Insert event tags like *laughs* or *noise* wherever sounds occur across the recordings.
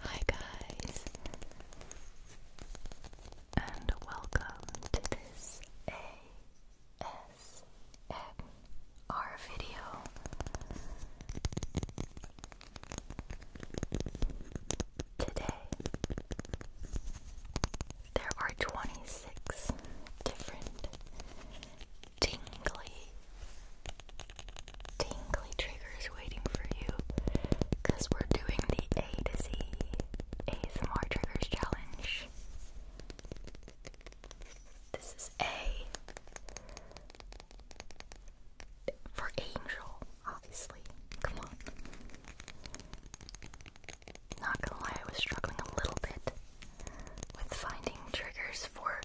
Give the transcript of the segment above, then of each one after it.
Hi, guys, and welcome to this ASMR video. Today, there are 26 different tingly, tingly triggers waiting for you because we're doing the A to Z ASMR Triggers Challenge. This is A for Angel obviously. Come on. Not gonna lie, I was struggling a little bit with finding triggers for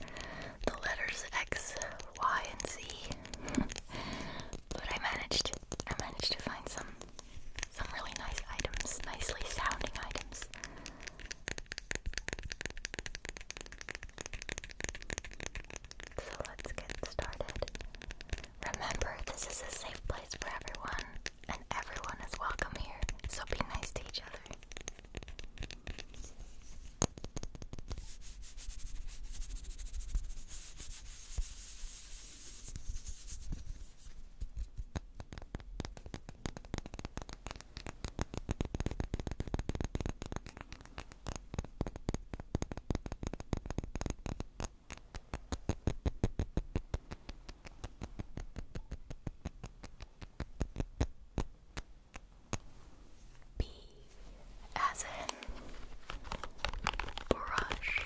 the letters X, Y, and Z. *laughs* but I managed I managed to find some some really nice items, nicely sounding items. So let's get started. Remember, this is a safe place for everyone, and everyone is welcome here, so be nice to each other. B as in brush.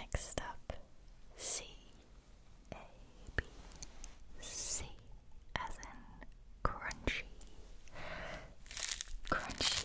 Next up, C A B C as in crunchy, crunchy,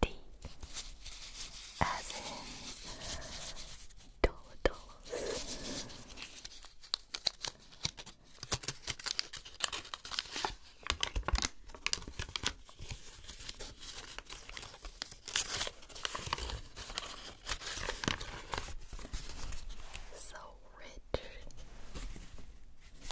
D as in dollars. So rich.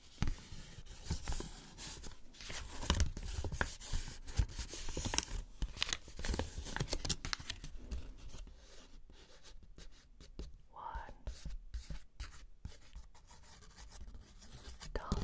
One dollar.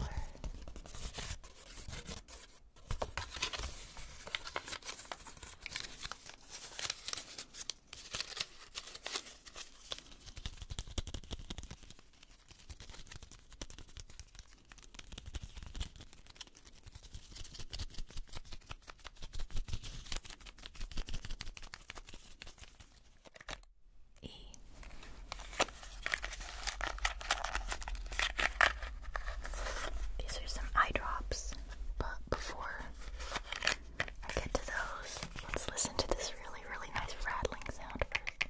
E. These are some eye drops, but before I get to those, let's listen to this really, really nice rattling sound first.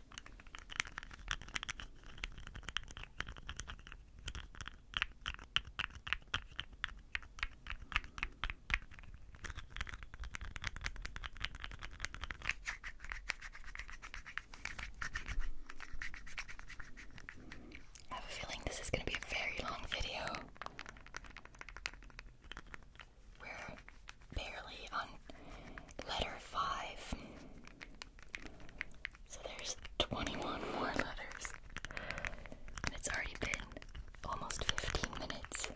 I have a feeling this is going to be a very long video. We're barely on letter five. So there's 21 more letters. And it's already been almost 15 minutes.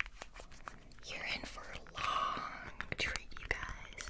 You're in for a long treat, you guys.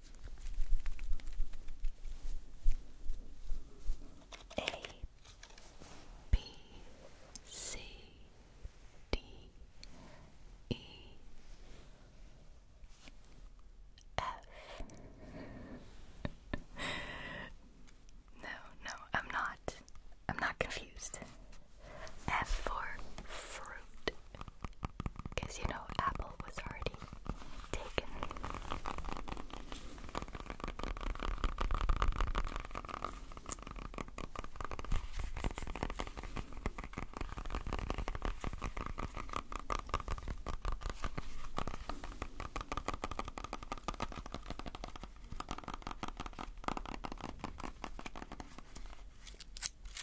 A B C D E F *laughs* No, no, I'm not. I'm not confused. F for fruit. Because you know, Apple was already taken.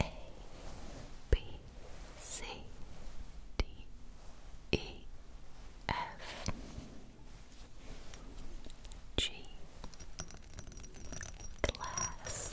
A B C D E F G Glass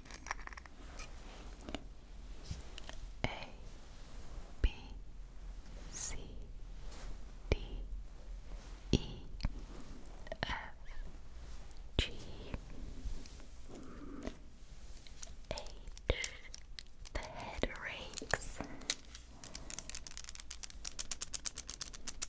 A B C D E F G H the head rakes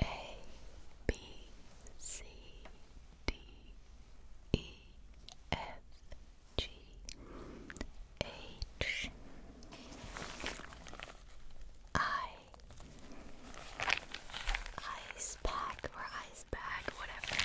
A B C D E F G H I ice pack or his bag, whatever.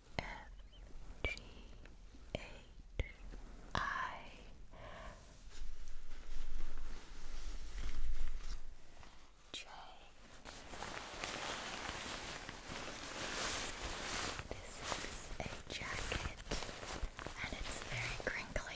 F G H I J. This is a jacket and it's very crinkly.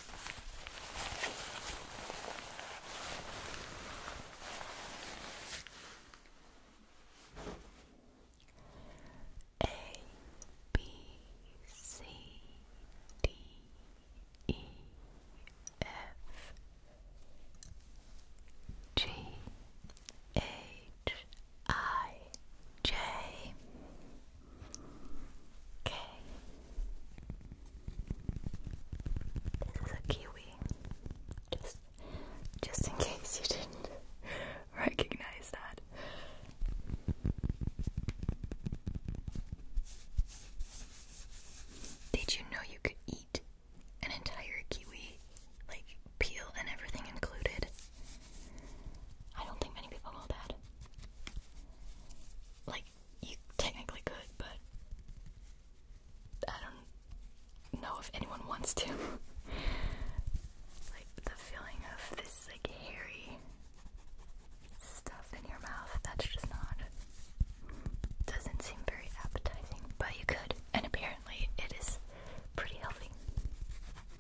A B C D E F G H I J Okay. This is a kiwi. Just just in case you didn't *laughs* recognize that. Did you know you could eat an entire kiwi? Like peel and everything included? I don't think many people know that. Like, you technically could, but I don't know if anyone wants to. *laughs* like, the feeling of this, like, hairy stuff in your mouth, that's just not. doesn't seem very appetizing, but you could, and apparently it is pretty healthy.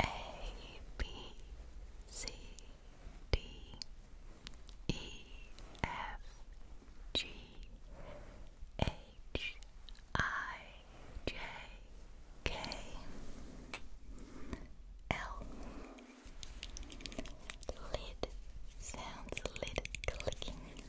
A B C D E F G H I J K L Lid sounds, lid clicking. Lid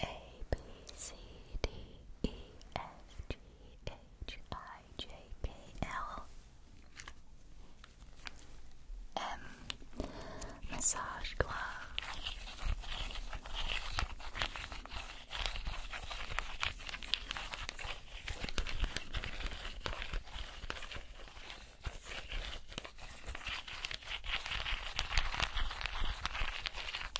A B C D E F G H I J K L M massage glove.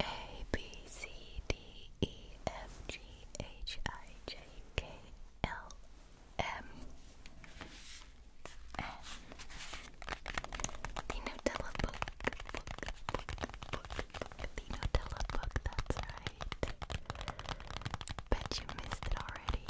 A B C D E F G H I J K L M N. The Nutella book, book, book, book, book. The Nutella book. That's right. Bet you missed it already.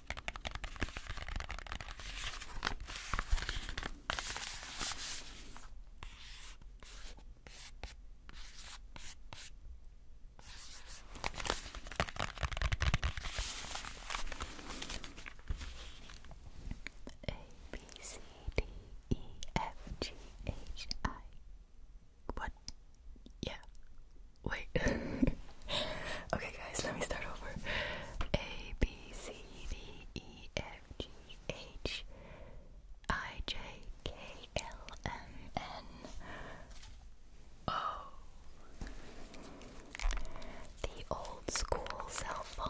A B C D E F G H I. What? Yeah. Wait. *laughs* okay, guys, let me start over. A, B, C, D, E, F, G, H, I, J, K, L, M, N, O. The old school cell phone.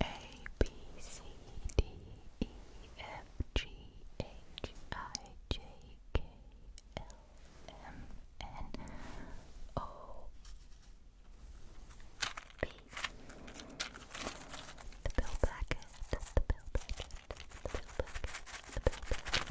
A B C D E F G H I J K L M N O B. The bill packet, the bill packet, the bill packet, the bill packet.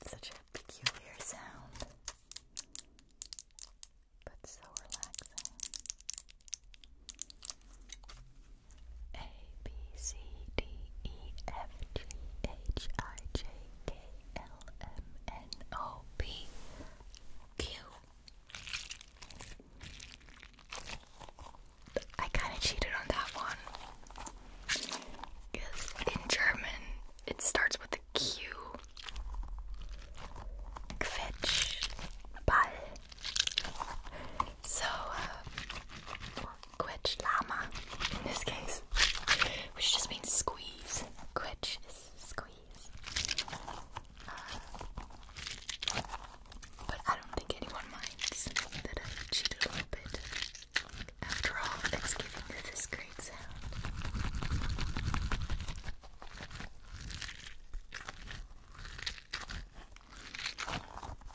It's such a peculiar sound, but so relaxing. A B C D E F G H I J K L M N O P Q I kind of cheated on that one. Because in German, it starts with a Q. Quetsch. Ball. So, uh, in this case, which just means squeeze. Quetsch squeeze but I don't think anyone minds that I cheated a little bit. After all, it's giving you this great sound.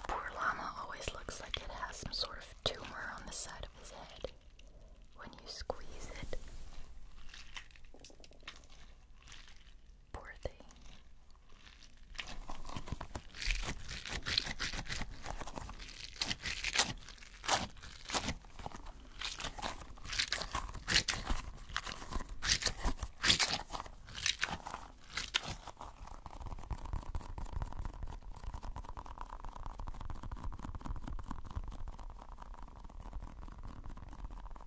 Poor llama always looks like it has some sort of tumor on the side of his head when you squeeze it. Poor thing.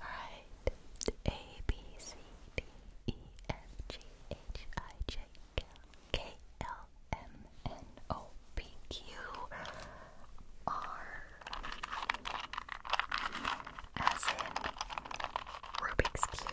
Alright. A B C D E F G H I J K L M N O P Q R as in Rubik's Cube.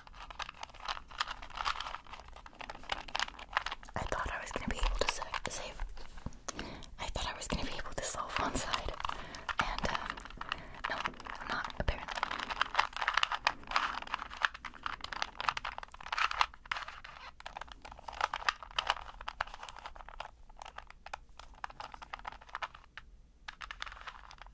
I thought I was gonna be able to save. I thought I was gonna be able to solve one side, and um, no, I'm not apparently.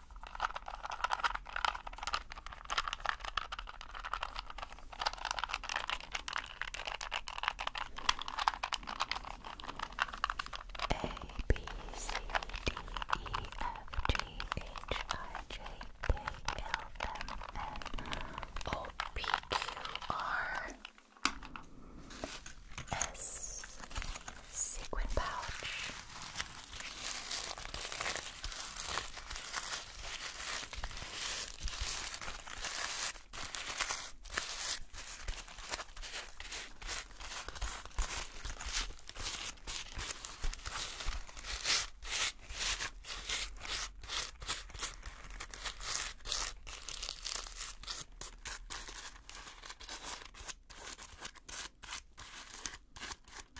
A B C D E F G H I J K L M N O P Q R S sequin pouch.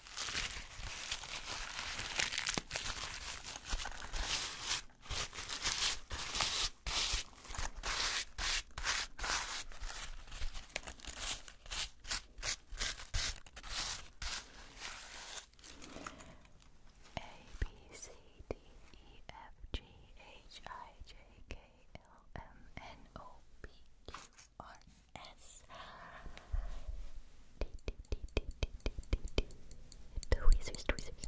A B C D E F G H I J K L M N O P Q R S tweezers,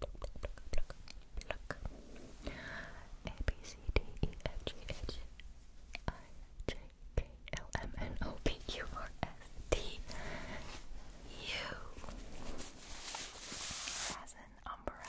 pluck. A B C D E F G H I J K L M N O P Q R S T U as an umbrella.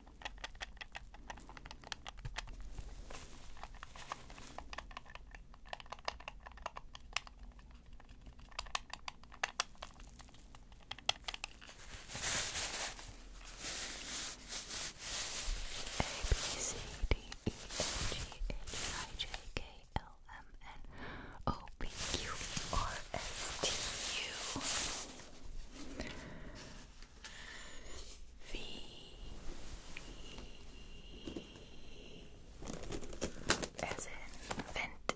A B C D E F G H I J K L M N O P Q R S T U V as in vent.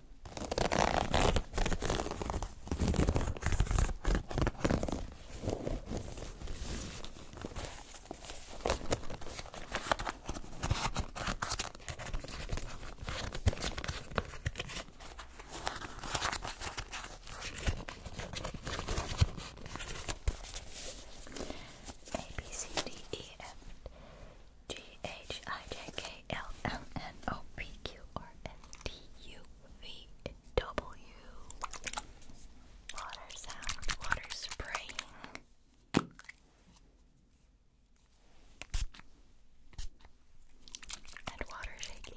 A B C D E F G H I J K L M N O P Q R S T U V W. Water sound, water spraying. And water shaking.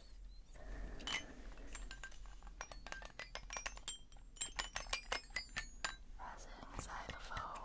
Resin xylophone.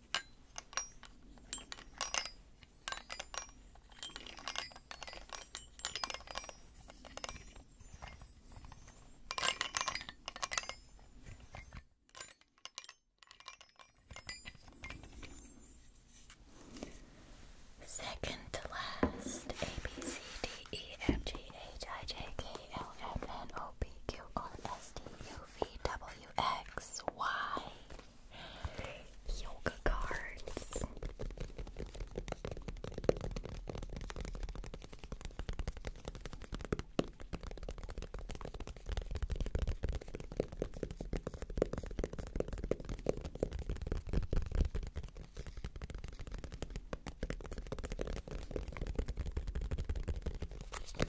Second to last, A, B, C, D, E, F, G, H, I, J, K, L, M, N, O, P, Q, R, S, T, U, VWXY yoga cards.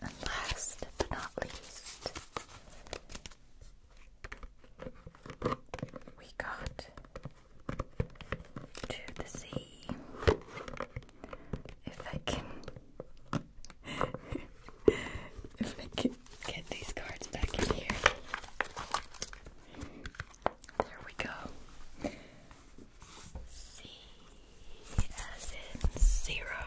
And last but not least, we got to the sea. If I can, *laughs* if I can get these cards back in here, there we go. C as in zero.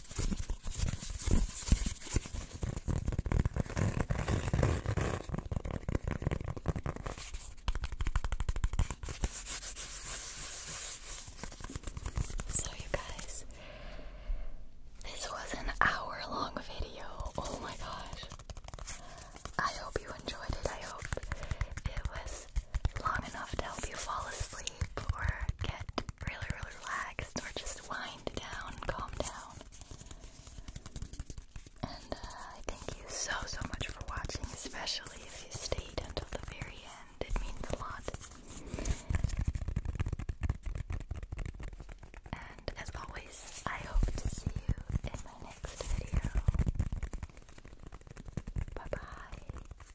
So, you guys, this was an hour long video. Oh my gosh. I hope you enjoyed it. I hope it was long enough to help you fall asleep or get really, really relaxed or just wind down, calm down. And uh, I thank you so, so much for watching, especially if you stayed until the very end. It means a lot. And as always, I hope to see you in my next video. Bye bye.